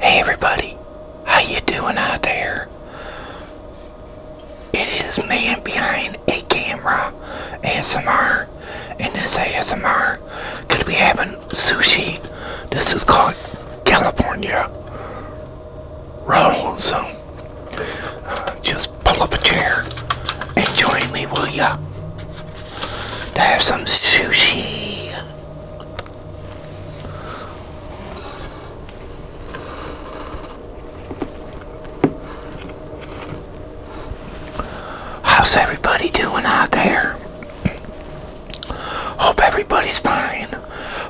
Hey everybody, how you doing out there? It is man behind a camera ASMR and this ASMR gonna be having sushi. This is called California Roll. So uh, just pull up a chair and join me, will ya? To have some sushi. How's everybody doing out there? Hope everybody's fine.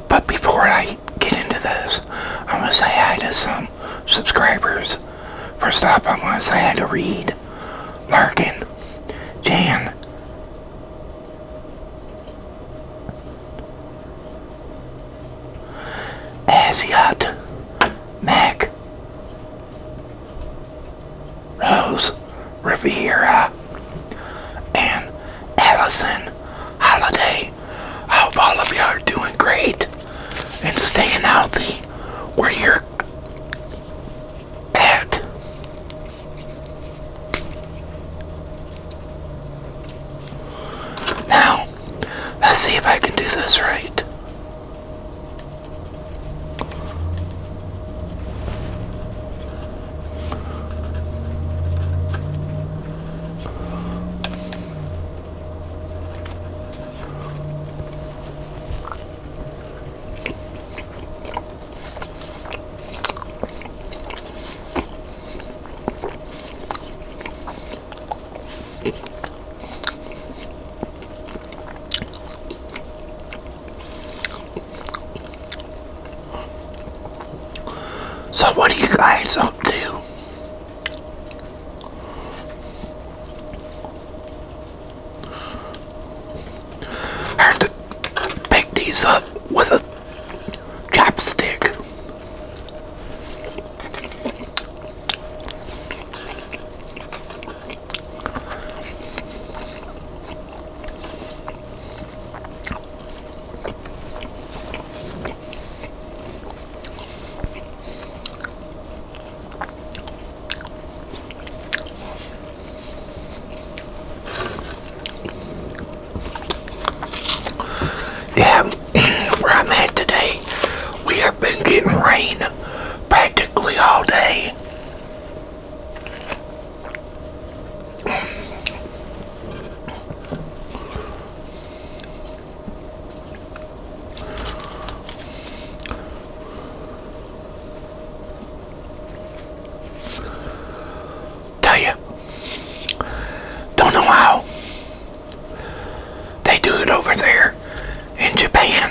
But before I get into this, I am going to say hi to some subscribers. First off, I want to say hi to Reed, Larkin, Jan, Asiat Mac Rose Riviera and Allison Holiday. I hope all of you are doing great and staying healthy where you're at. Now, let's see if I can do this right. So what are you guys up to? I have to pick these up with a chopstick. Yeah, where I'm at today, we have been getting rain practically all day. Tell you, don't know how they do it over there in Japan.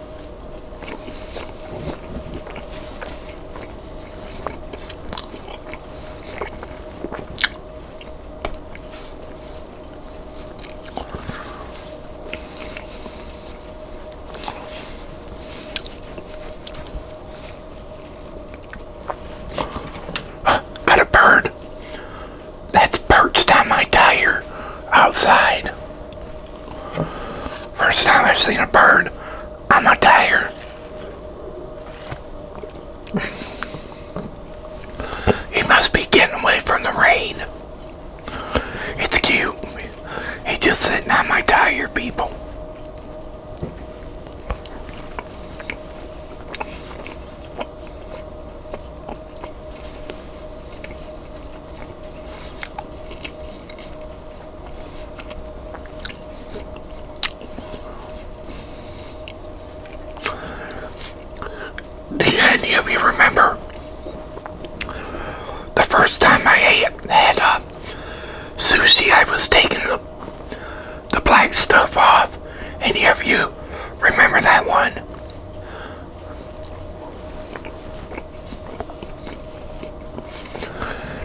Got a bird that's perched on my tire outside. First time I've seen a bird on my tire. He must be getting away from the rain. It's cute. He's just sitting on my tire, people. Do any of you remember the first time I ate, that uh, sushi? I was taking the, the black stuff off. Any of you remember that one?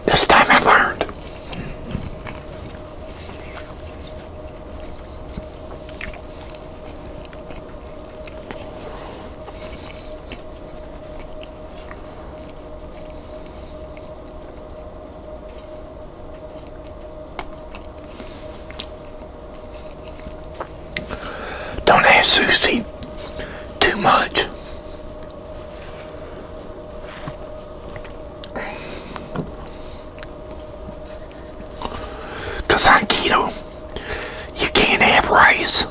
This time I learned. Don't ask Susie too much. Because I'm keto, you can't have rice.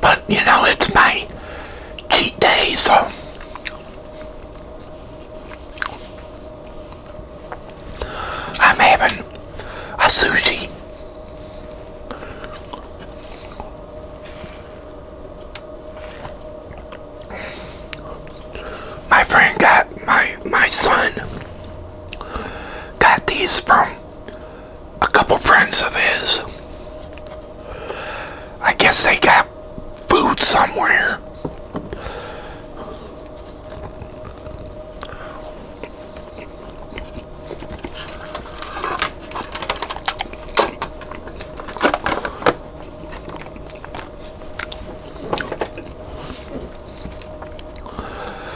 But you know, it's my cheat day, so I'm having a sushi. My friend got my my son got these from a couple friends of his. I guess they got food somewhere.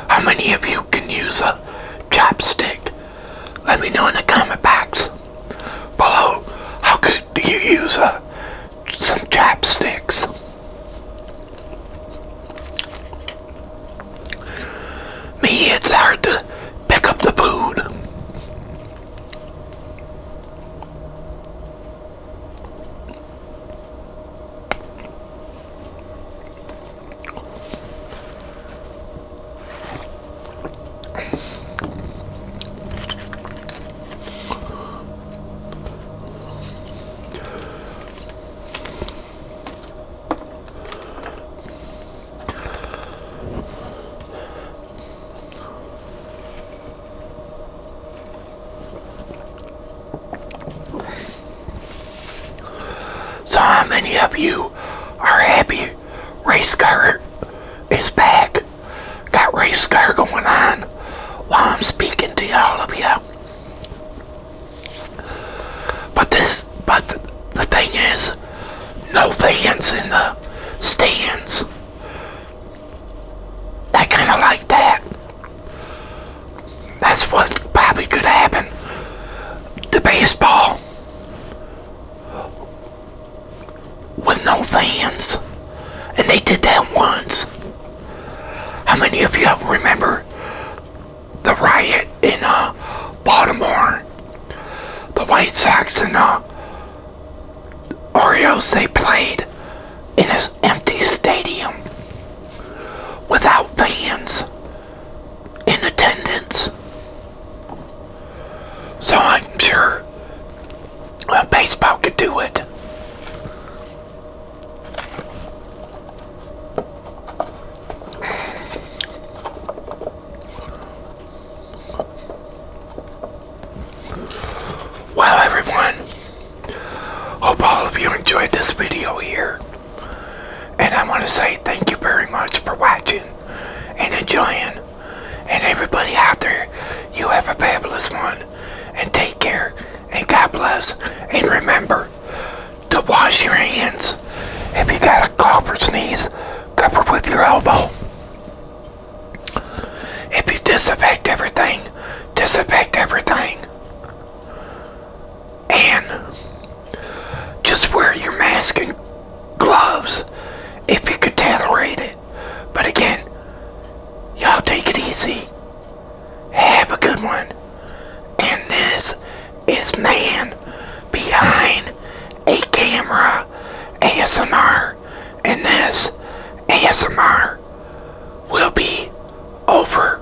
How many of you can use a chopstick? Let me know in the comment box below. How could you use uh, some chopsticks? Me, it's hard to pick up the food. So many of you are happy race car is back. Got race car going on while I'm speaking to all of you. But this, but the, thing is, no fans in the stands. I kind of like that. That's what's probably going to happen The baseball with no fans. And they did that once. How many of you remember the riot in uh, Baltimore? The White Sox and uh, Orioles, they played in an empty stadium without fans in attendance. So I'm sure baseball could do it. Well everyone, hope all of you enjoyed this video here. And I want to say thank you very much for watching and enjoying. And everybody out there, you have a fabulous one. And take care. And God bless. And remember to wash your hands. If you got a cough or sneeze, cover with your elbow. If you disinfect everything, disinfect everything. And just wear your mask and gloves if you can tolerate it. But again, y'all take it easy. Have a good one. And this is Man Behind a Camera ASMR. And this ASMR will be over.